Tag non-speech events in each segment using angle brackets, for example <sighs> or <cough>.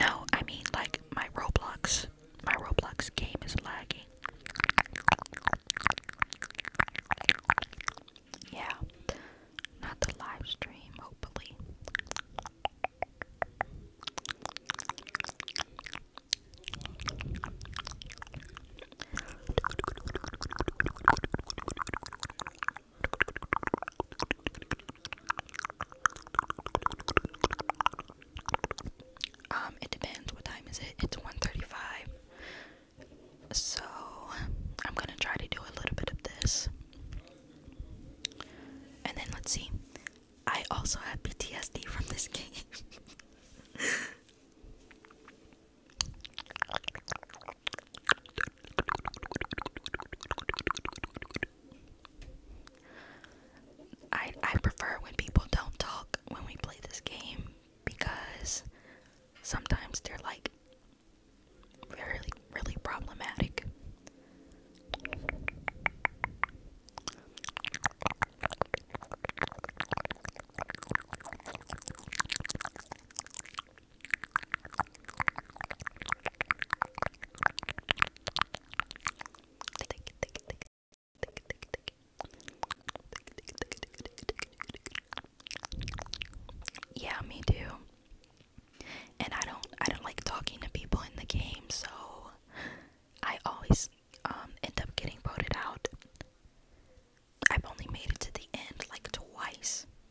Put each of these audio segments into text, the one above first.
No, I mean like my Roblox. My Roblox game is lagging. Yeah. Not the live stream, hopefully. Um, it depends. What time is it? It's 1:35. So I'm gonna try to do a little bit of this. And then let's see. I also have PTSD from this game. <laughs> I I prefer when people don't talk when we play this game because sometimes they're like really really problematic. Yeah, me too. And I don't I don't like talking to people in the game, so I always um end up getting voted out. I've only made it to the end like twice. <laughs>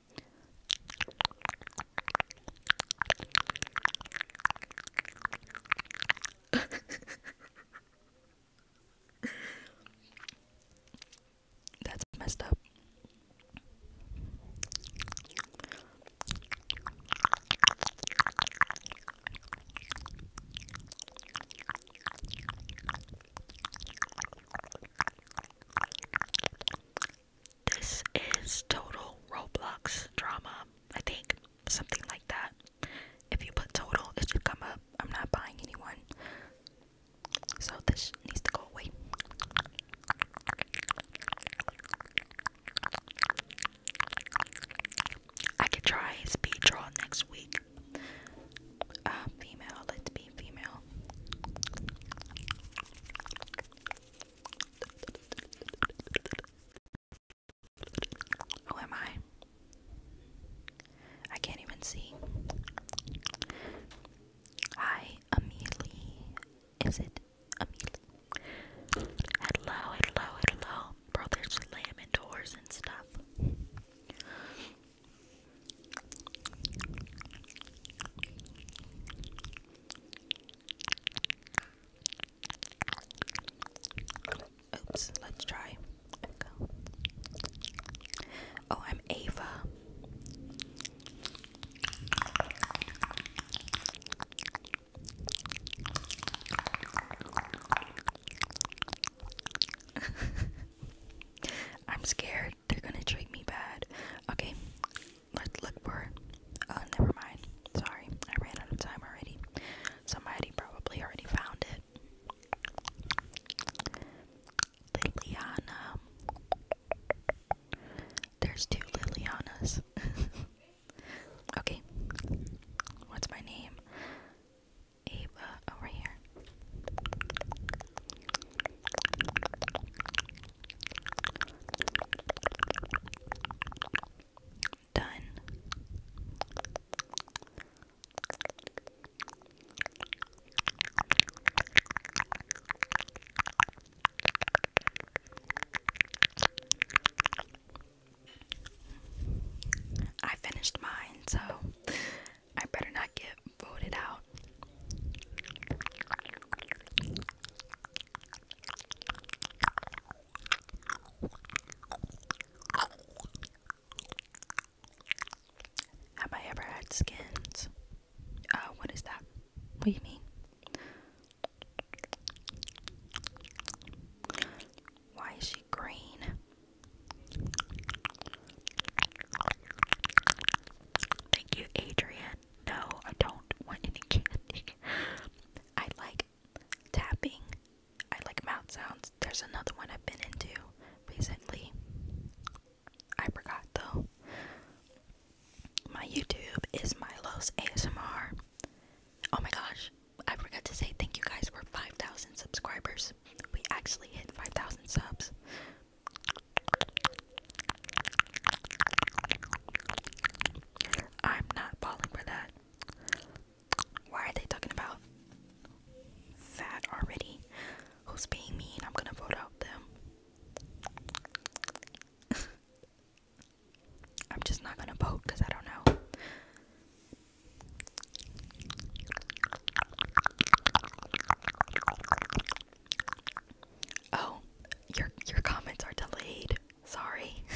That's messed up. This is total Roblox drama, I think. Something like that. If you put total, it should come up. I'm not buying anyone. So this needs to go away. I could try speed draw next week. Uh, female, let's be female. Oh, am I? I can't even see. Hi, Amelie. Is it Amelie? Hello, hello, hello. Bro, they're slamming doors and stuff. Oops, let's try. Oh, I'm Ava. <laughs> I'm scared they're gonna treat me bad. Okay, let's look for. Oh, never mind. Sorry, I ran out of time already. Somebody probably already found it. Liliana. There's two Lilianas. <laughs> okay. What's my name? Ava over here. Done. I finished mine, so I better not get voted out. Have I ever had skins? Uh, what is that? What do you mean? Why is she green? Thank you, Adrian no, I don't want any candy. I like tapping. I like mouth sounds. There's another one I've been into recently. I forgot though. My YouTube is Milo's ASMR. Oh my gosh, I forgot to say thank you guys for 5,000 subscribers. We actually hit 5,000 subs. I'm not falling for that. Why are they talking about fat already? Who's being mean? I'm gonna vote out them. <laughs> I'm just not gonna vote because I don't know. Oh, your your comments are delayed. Sorry. <laughs>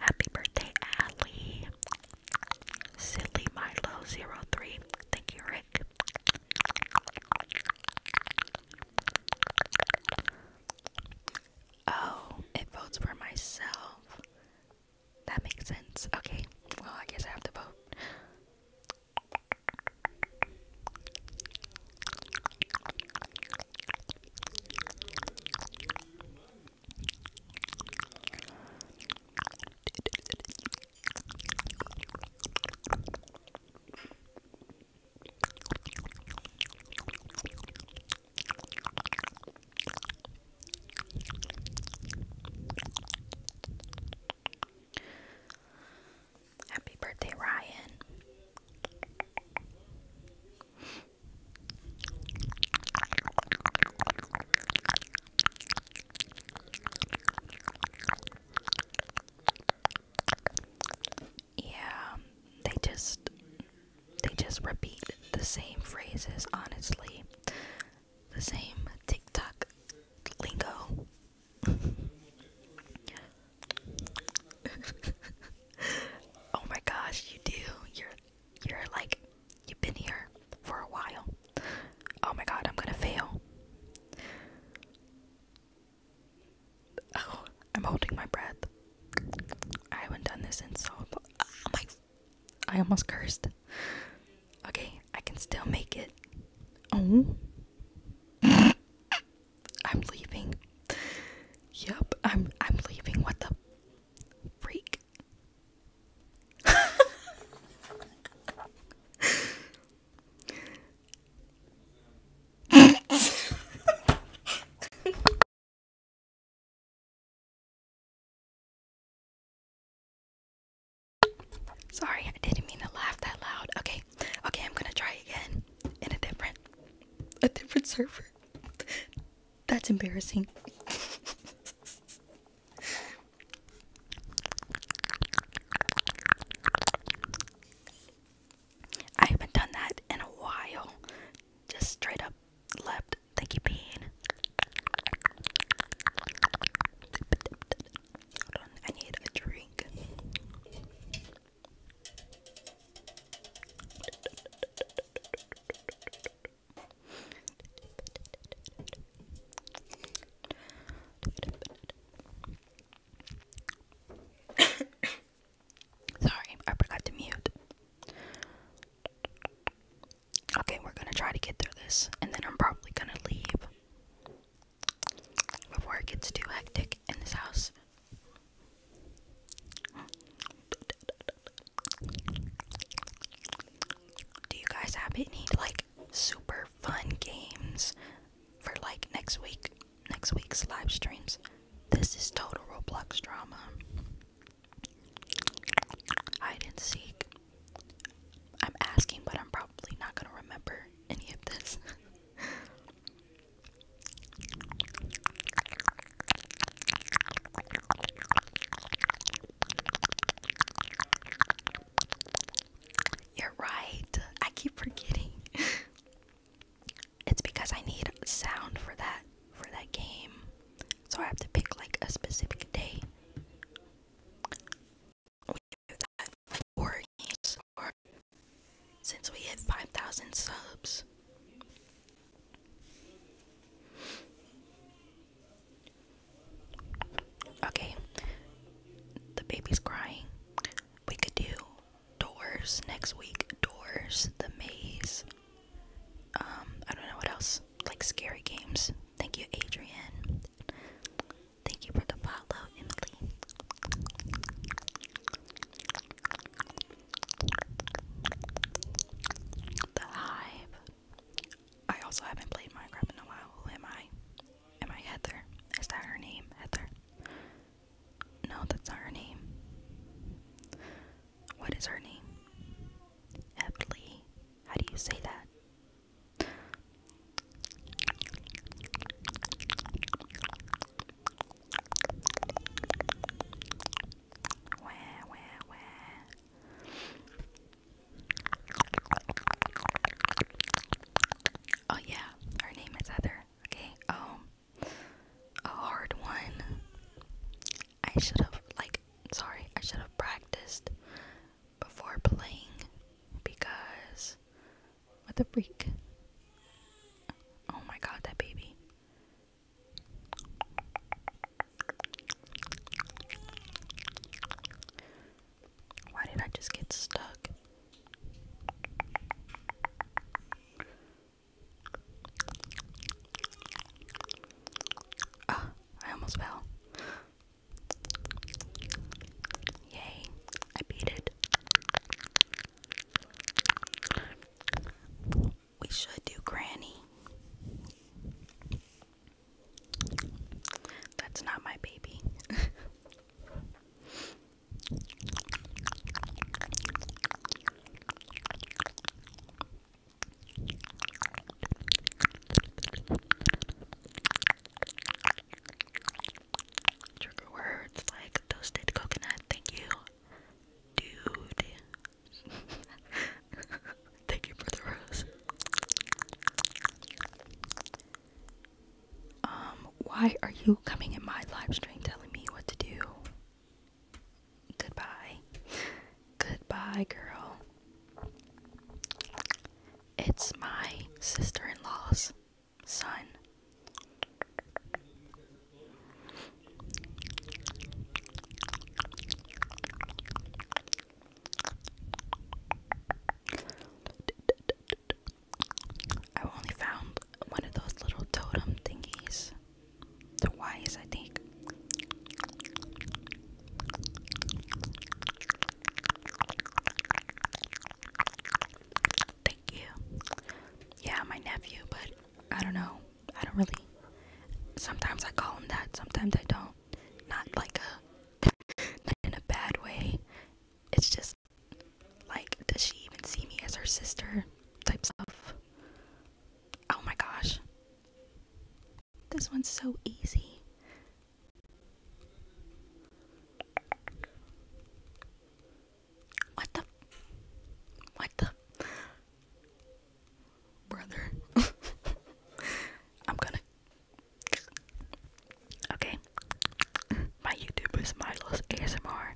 Happy birthday, Allie. Silly Milo03. Thank you, Rick. Oh, it votes for myself. That makes sense. Okay, well, I guess I have to vote. Happy birthday, Ryan. Yeah, they just they just repeat the same phrases, honestly. The same TikTok lingo. <laughs> oh my gosh, you do. You're you're like, you've been here for a while. Oh my god, I'm gonna fail. Oh, I'm holding my breath. I haven't done this in so long. Oh my. I almost cursed. Okay, I can still make it. Oh. <laughs> I'm leaving. Yep, I'm I'm leaving. What the freak? Sorry, I didn't mean to laugh that loud. Okay, okay, I'm gonna try again in a different, a different server. That's embarrassing. I haven't done that in a while. Just straight up left. Thank you, Bean. Hold on, I need a drink. <coughs> Sorry, I forgot to mute. Okay, we're gonna try to get through this, and then I'm probably gonna leave before it gets too hectic in this house. Do you guys have any like super fun games for like next week? Next week's live streams. This is total Roblox drama. Hide and seek. I'm asking, but I'm probably not gonna remember any of this. <laughs> You're right. I keep forgetting. <laughs> it's because I need sound for that for that game. So I have to pick like a specific day. We do that with games since we hit 5,000 subs. Okay, the baby's crying. We could do doors next week. Doors, the maze. Um, I don't know what else. Like scary games. Thank you, Adrian. Thank you for the follow, Emily. The Hive. I also haven't played Minecraft in a while. am I? Am I Heather? Is that her name? Heather? No, that's not her name. What is her name? Evelyn. How do you say that? Wah, wah, wah. Oh yeah, her name is Heather. Okay. Oh, a hard one. I should have like sorry, I should have practiced before playing because what the freak? Oh my god, that baby. Why did I just get stuck? Ah, I almost fell. Yay, I beat it. We should do Granny. That's not my baby. Trigger words like toasted coconut, thank you, dude. <laughs> Thank you for the rose. Um, why are you coming in my live stream telling me what to do? Goodbye. Goodbye, girl. It's my sister in law's son. I only found one of those little totem thingies. The wise, I think. Thank you. Yeah, my nephew, but I don't know. I don't really. Sometimes I call him that. Sometimes I don't. Not like a, not in a bad way. It's just like, does she even see me as her sister? Types of. Oh my gosh. This one's so easy. What the? What the? brother. <laughs> I'm gonna. Okay. My YouTube is Milo's ASMR.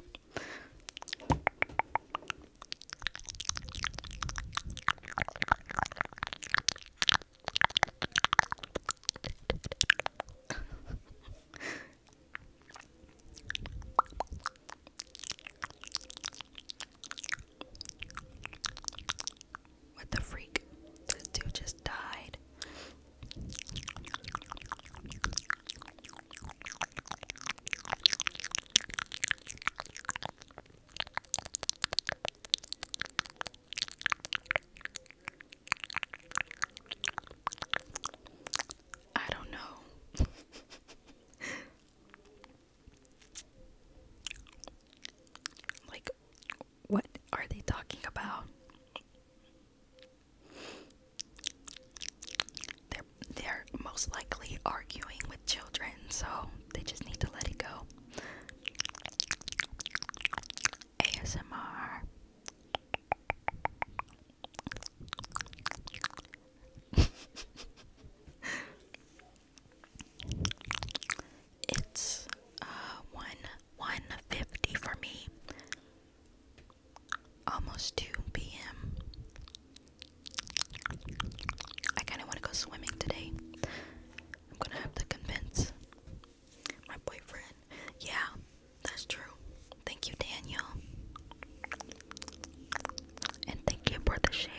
What the freak? This dude just died. I don't know. <laughs> Like, what are they talking about? They're they're most likely arguing with children, so they just need to let it go. ASMR <laughs> it's uh one one fifty for me. Almost two p.m. I kind of want to go swimming today. I'm gonna have to convince my boyfriend. Yeah, that's true. Thank you, Daniel and thank you for the share.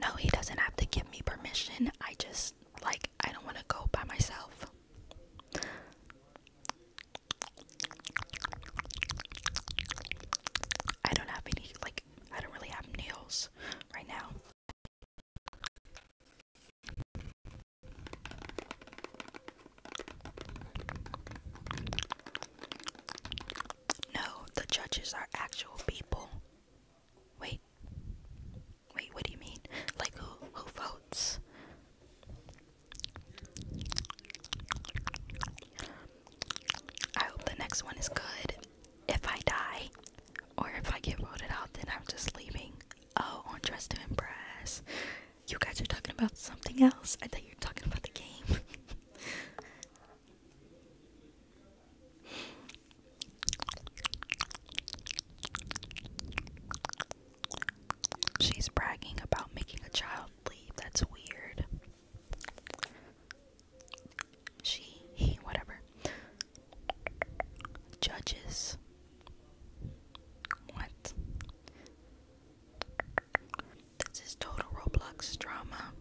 No, he doesn't have to give me permission. I just like I don't want to go by myself. I don't have any like I don't really have nails right now. No, the judges are actual people. Wait. Wait, what do you mean? Like who who votes? I hope the next one is good. If I die or if I get voted out, then I'm just leaving. Oh, on Dress to Impress. You guys are talking about something else? I thought you were talking about the game. <laughs> She's bragging about making a child leave. That's weird. She, he, whatever. Judges. What? This is total Roblox drama.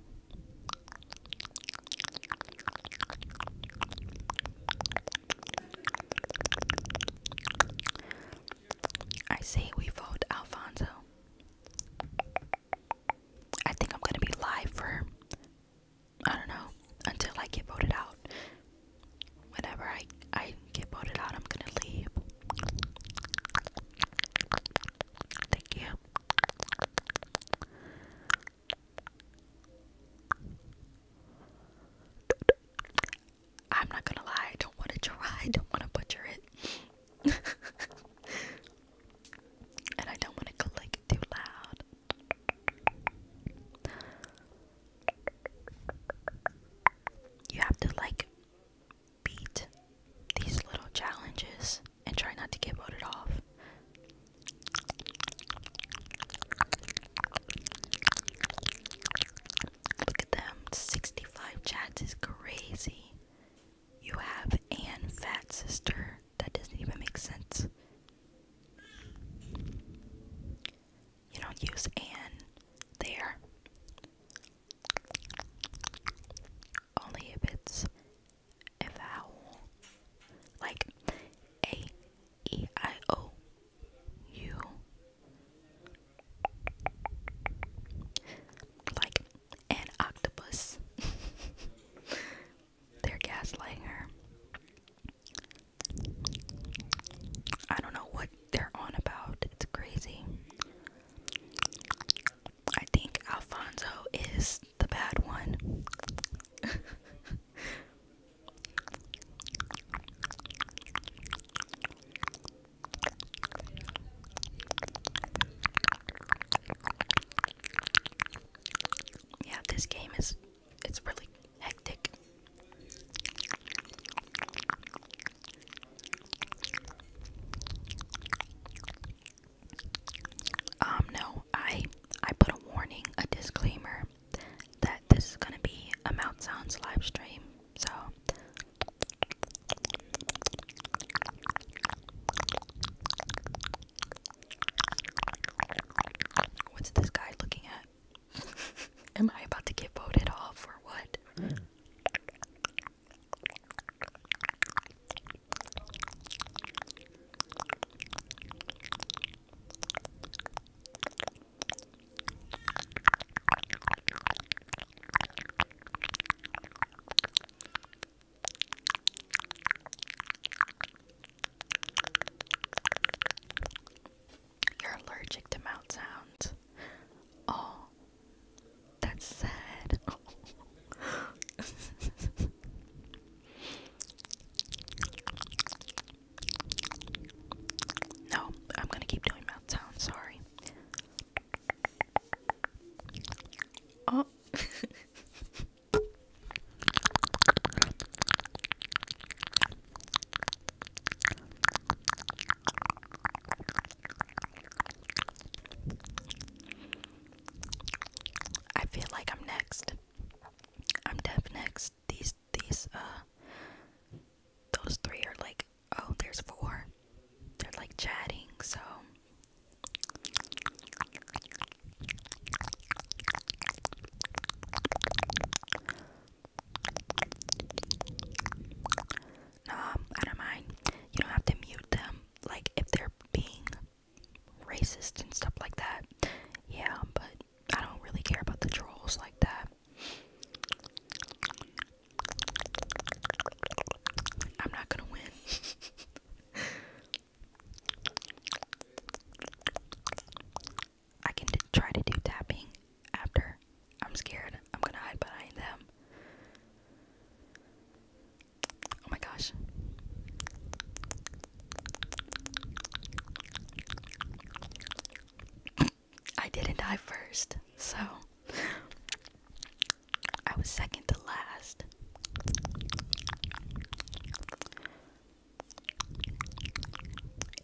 I say we vote Alfonso. I think I'm gonna be live for I don't know until I get voted out. Whenever I I get voted out, I'm gonna leave. Thank you. I'm not gonna lie, I don't want to try, I don't want to butcher it. <laughs> and I don't want to click too loud. You have to like beat these little challenges and try not to get voted off. Look at them. 65 chats is crazy. You have an fat sister. That doesn't even make sense. You don't use an there. Only if it's a vowel like A, E, I, O, U, like an octopus. <laughs> They're gaslighting her. I don't know what they're on about. It's crazy. I think Alfonso is the bad one. <laughs> yeah, this game is it's really hectic. Um no, I I put a warning, a disclaimer that this is gonna be a Mount Sounds live stream. So what's this guy looking at? <laughs> Am I about to get voted off or what? You're allergic to mouth sounds. Oh, that's sad. <laughs> No, I'm gonna keep doing mouth sounds, sorry. Oh. <laughs> I feel like I'm next. I'm deaf next. These these uh those three are like oh there's four. They're like chatting, so no, I don't mind. You don't have to mute them. Like if they're being racist and stuff like that. Yeah, but I don't really care about the trolls like that. I'm not gonna win. <laughs> I can try to do tapping after. I'm scared. I'm gonna hide behind them. Oh my gosh. I didn't die first, so I was second to last.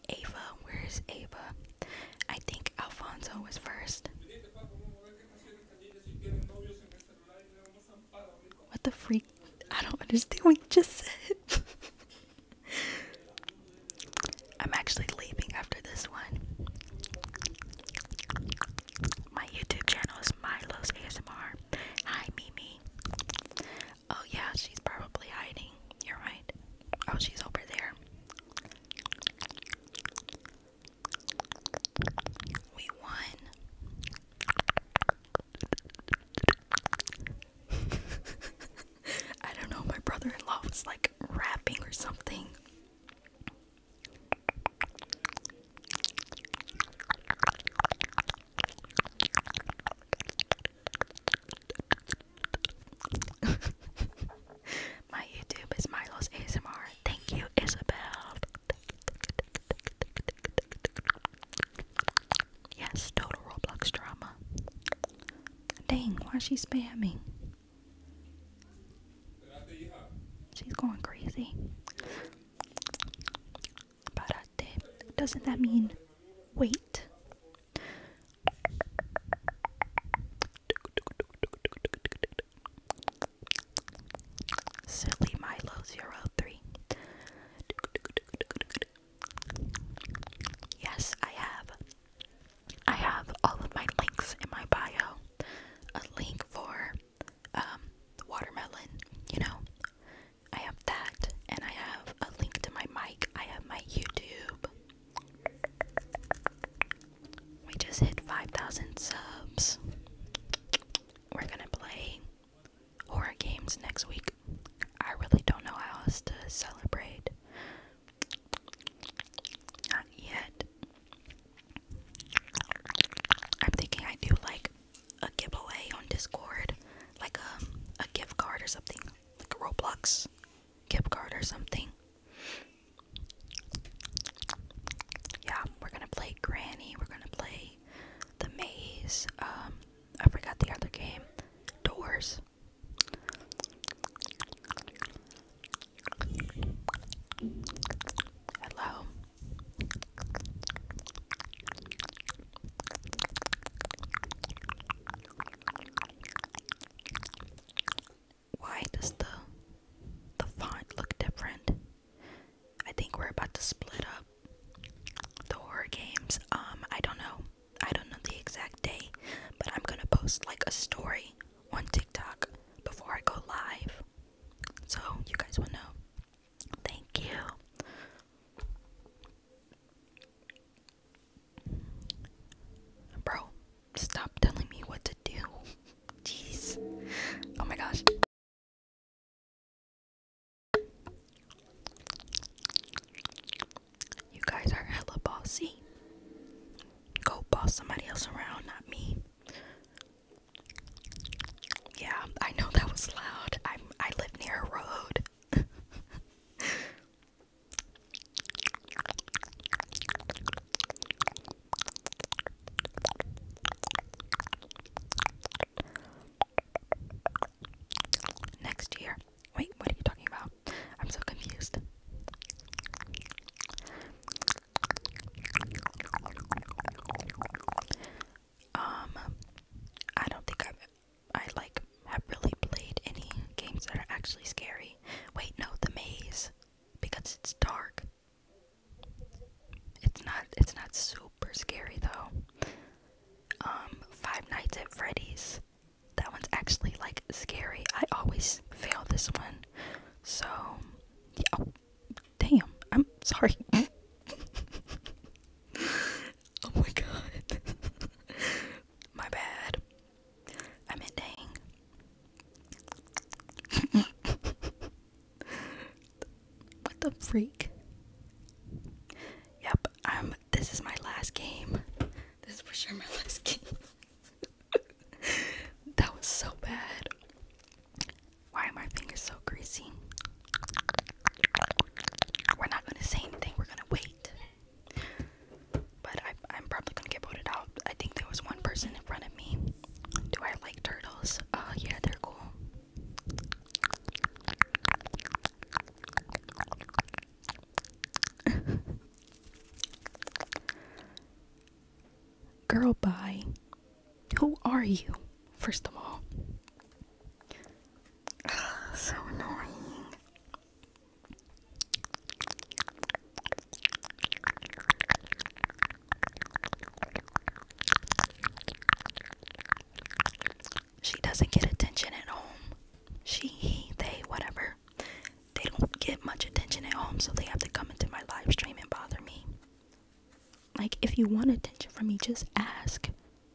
Ava, where's Ava? I think Alfonso was first. What the freak? I don't understand what you just said. <laughs> I'm actually leaving after this one. My YouTube channel is Milo's ASMR. Hi, Mimi. Oh, yeah, she's probably hiding. You're right. Oh, she's over there. We won. <laughs> I don't know, my brother in law was like rapping or something. <laughs> my YouTube is Milo's ASMR. Thank you, Isabel. Yes, total Roblox drama. Dang, why is she spamming? She's going crazy. Doesn't that mean wait? Silly Milo 03. Yes, I have. I have all of my links in my bio. A link for um watermelon, you know. I have that and I have a link to my mic. I have my YouTube. We just hit 5,000 subs. We're going to play horror games next week. I really don't know how else to celebrate. Not yet. I'm thinking I do like a giveaway on Discord, like a, a gift card or something, like a Roblox gift card or something. Yeah, we're gonna play Granny, we're gonna play the maze, um, I forgot the other game. Doors. Hello. Why does the the font look different? I think we're about to split up the horror games. Um, I don't know. I don't know the exact day, but I'm gonna post like a story on TikTok before I go live. So you guys will know. Thank you. Bro, stop telling me what to do. <laughs> Jeez. Oh my gosh. You guys are hella bossy. Go boss somebody else around, not me. Yeah, I know that was loud. i I live near a road. Next year. Wait, what are you talking about? I'm so confused. Um, I don't think I've, I like, have really played any games that are actually scary. Wait, no, The Maze, because it's dark. It's not, it's not super super scary though. Um, Five Nights at Freddy's. That one's actually like scary. I always fail this one. So, yeah. Oh, damn. I'm sorry. <laughs> oh my god. <laughs> my bad. I meant dang. <laughs> what the freak? Yep, um, this is my last game. This is for sure my <laughs> last game. that was so bad. Why are my fingers so greasy? We're not gonna say anything, we're gonna wait. But I, I'm probably gonna get voted out. I think there was one person in front of me. Do I like turtles? Oh, yeah, they're cool. <laughs> Girl, bye. Who are you, first of all? <sighs> so annoying. She doesn't get attention at home. She, he, they, whatever. They don't get much attention at home, so they have to come into my live stream and bother me. Like, if you want attention from me, just ask.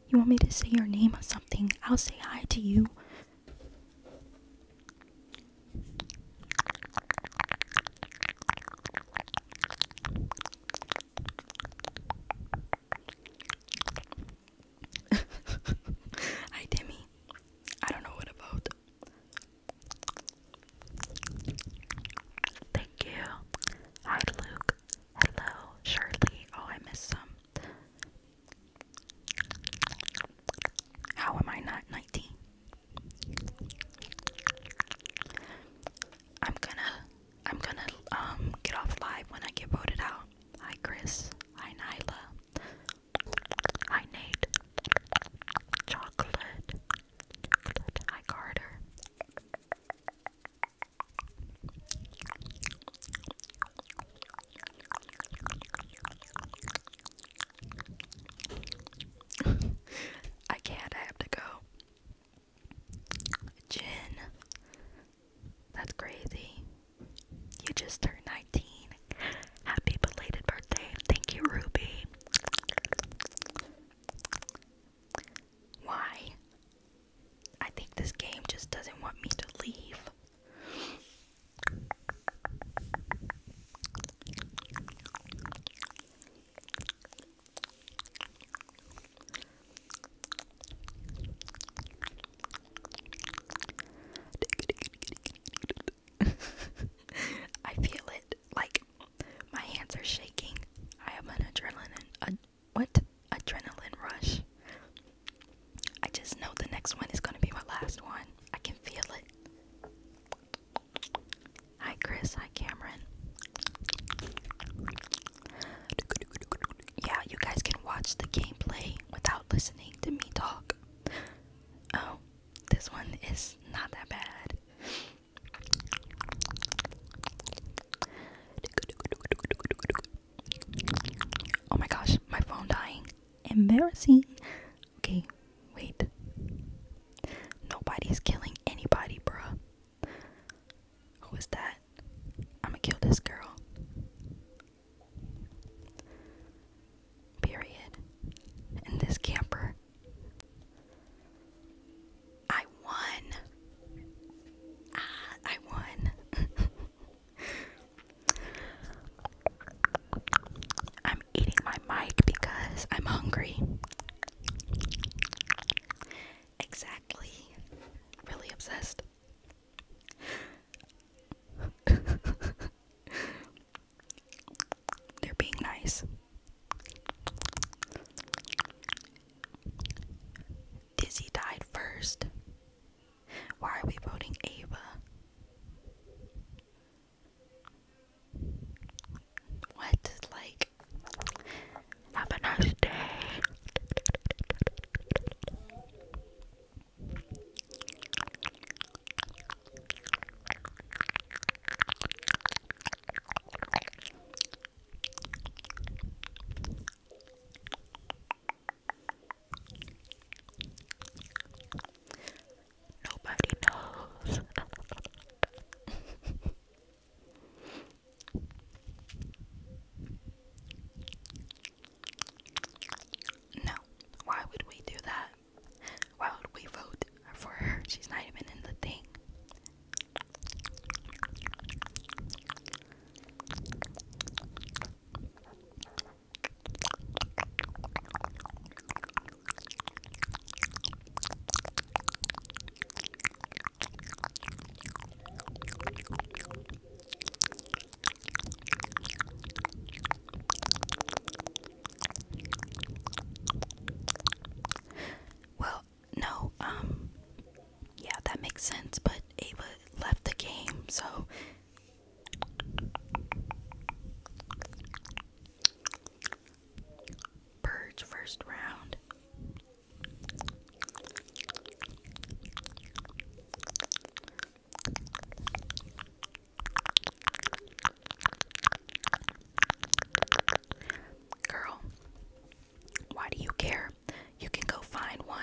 You want me to say your name or something? I'll say hi to you. <laughs> Hi, Timmy. I don't know what about. Thank you. Hi, Luke. Hello, Shirley. Oh, I missed some. How am I not 19? I'm gonna I'm gonna um get off live when I get voted out. Hi Chris. Hi Nyla. Hi Nate. Chocolate. Chocolate. Hi Carter. <laughs> I can't, I have to go. Jin, that's crazy. You just turned 19. Happy belated birthday. Thank you, Ruby. Why? I think this game just doesn't want me to leave. <laughs> I feel it. Like my hands are shaking. I have an adrenaline ad what? Adrenaline rush. I just know the next one is gonna be my last one. I can feel it. Hi Chris, hi Cameron. Yeah, you guys can watch the gameplay without listening to me talk. Oh, this one is not that bad. Oh my gosh, my phone dying. Embarrassing. Okay, wait. Nobody's killing anybody, bruh. Who is that? I'm gonna kill this girl. Period. And this camper. I won. Ah, I won. <laughs> I'm eating my mic because I'm hungry. Exactly. Really obsessed. They're being nice. Dizzy died first. Why are we voting Ava? What? Like, have a nice day. <laughs> Nobody knows. <laughs> No, why would we do that? Why would we vote for her? She's not even in the thing. Well, no, um, yeah, that makes sense, but Ava left the game, so. Purge first round. Girl, why do you care? You can go find one.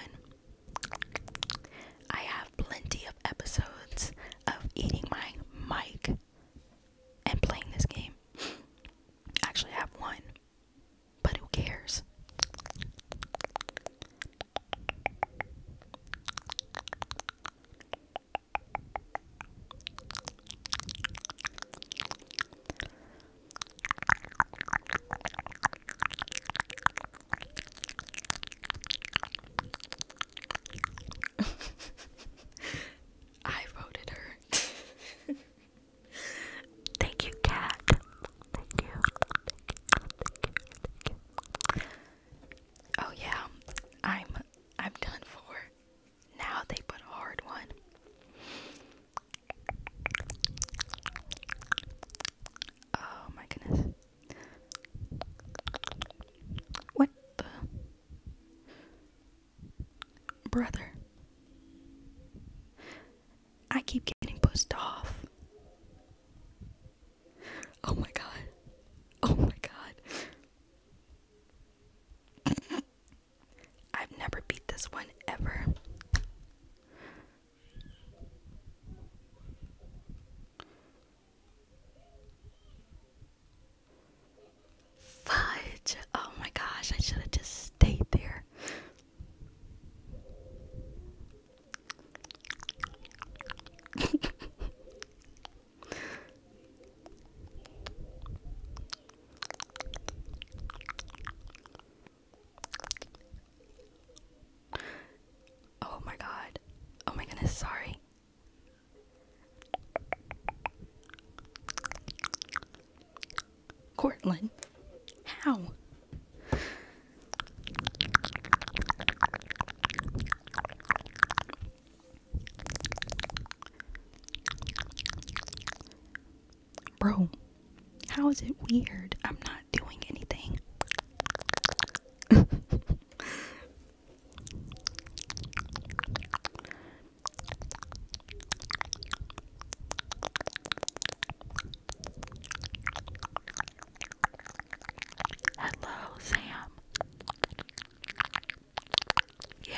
I have plenty of episodes of eating my mic and playing this game. <laughs> Actually, I have one. But who cares? <laughs> I voted her. <laughs> Thank you, cat. Thank you. Oh yeah, I'm I'm done for. Now they put a hard one. Oh my goodness. What the? Brother. I keep getting pushed off. Oh my god. Oh my god. I've never beat this one ever. Fudge! Oh my gosh, I should have just stayed there. <laughs> oh my god. Oh my goodness, sorry. Courtland, how? Bro, how is it weird? I'm not doing anything. <laughs> Hello, Sam. Yeah,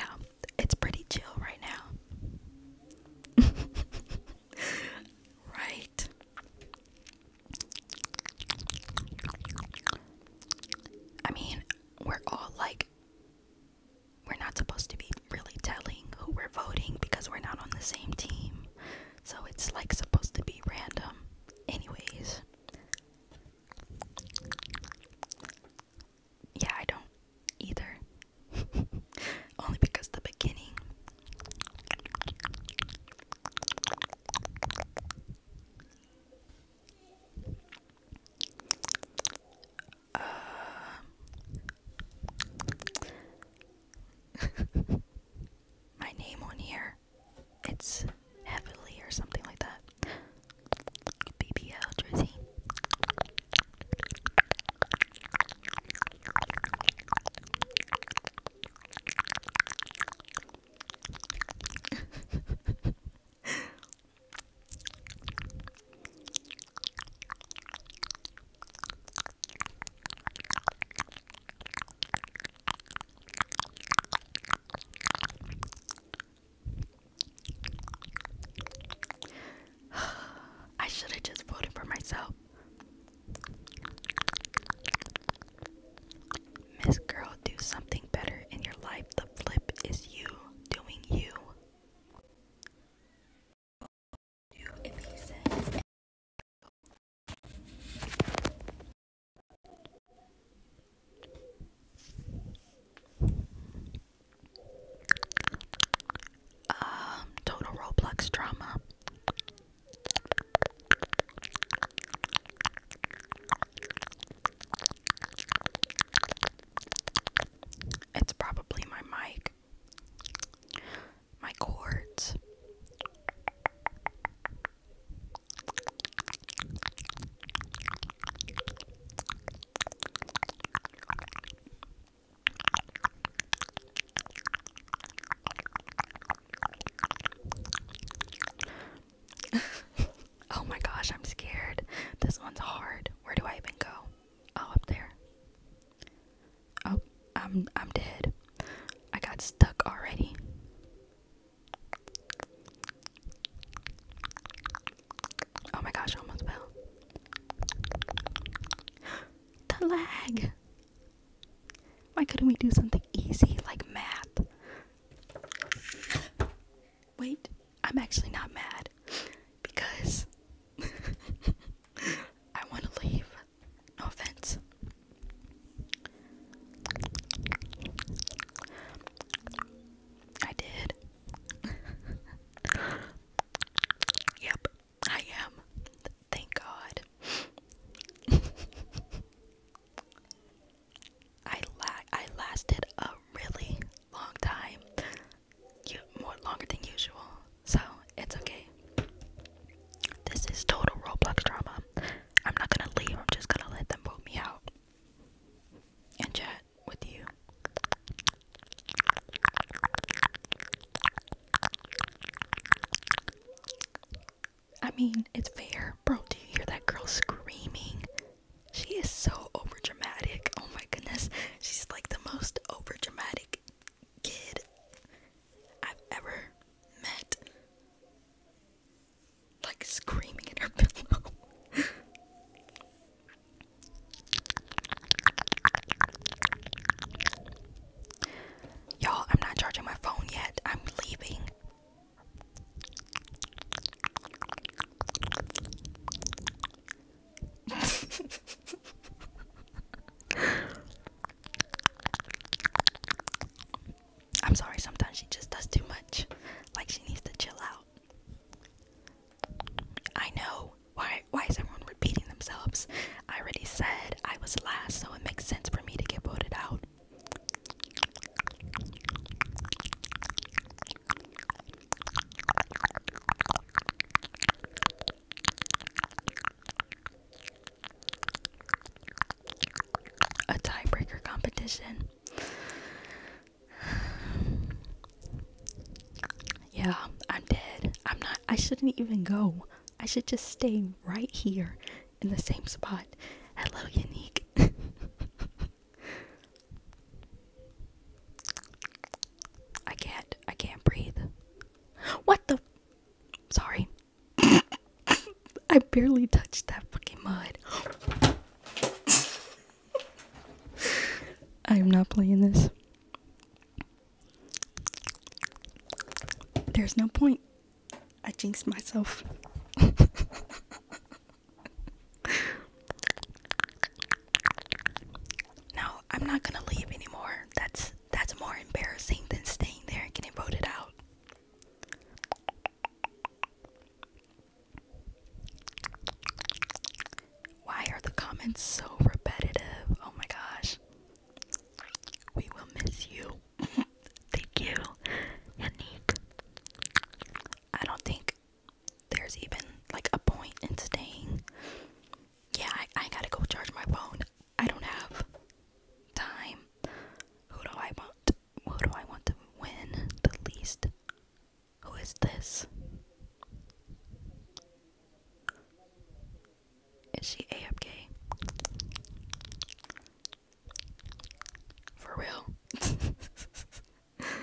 it's pretty chill right now. <laughs> right. I mean, we're all like we're not supposed to be really telling who we're voting because we're not on the same team. So it's like supposed to be random. Anyways. Yeah, I don't either. <laughs> Only because the beginning uh, <laughs> my name on here. It's heavily or something like that. BBL jersey. <laughs> I should have just voted for myself. Miss Girl, do something better in your life. The flip is you doing you um total Roblox drama it's probably my mic, my cords. <laughs> oh my gosh, I'm scared. This one's hard. Where do I even go? Oh, up there. Oh, I'm I'm dead. I got stuck already. Oh my gosh, I almost fell. The lag. Why couldn't we do something easy like math? Wait, I'm actually not mad because <laughs> I want to leave. No offense. I did. <laughs> yep, I am. Thank God. <laughs> I la I lasted a really long time you more longer than usual, so it's okay. This is total Roblox drama. I'm not gonna leave. I'm just gonna let them vote me out and chat with you. I mean, it's fair, bro. Do you hear that girl screaming? She is so overdramatic. Oh my goodness. She's like the most overdramatic kid I've ever met. Like screaming at her <laughs> pillow. Y'all, I'm not charging my phone yet. I'm leaving. <laughs> I'm sorry, sometimes she just does too much. Like she needs to chill out. I know. Why why is everyone repeating themselves? I already said I was last, so it makes sense for me to get voted out. A tiebreaker competition. <sighs> yeah, I'm dead. I'm not, I shouldn't even go. I should just stay right here in the same spot. Hello, Unique. <laughs> I can't. I can't breathe. What the? Sorry. <coughs> I barely touched that fucking mud. <coughs> I am not playing this. There's no point. I jinxed myself. <laughs> now I'm not gonna leave anymore. That's that's more embarrassing than staying there and getting voted out. Why are the comments so repetitive? Oh my gosh. We will miss you. <laughs> Thank you, Yannick. I don't think there's even like a point in staying. Yeah, I, I gotta go charge my phone. I don't have time. Who do I want? Who do I want to win the least? Who is this? Is she AFK? For real? <laughs>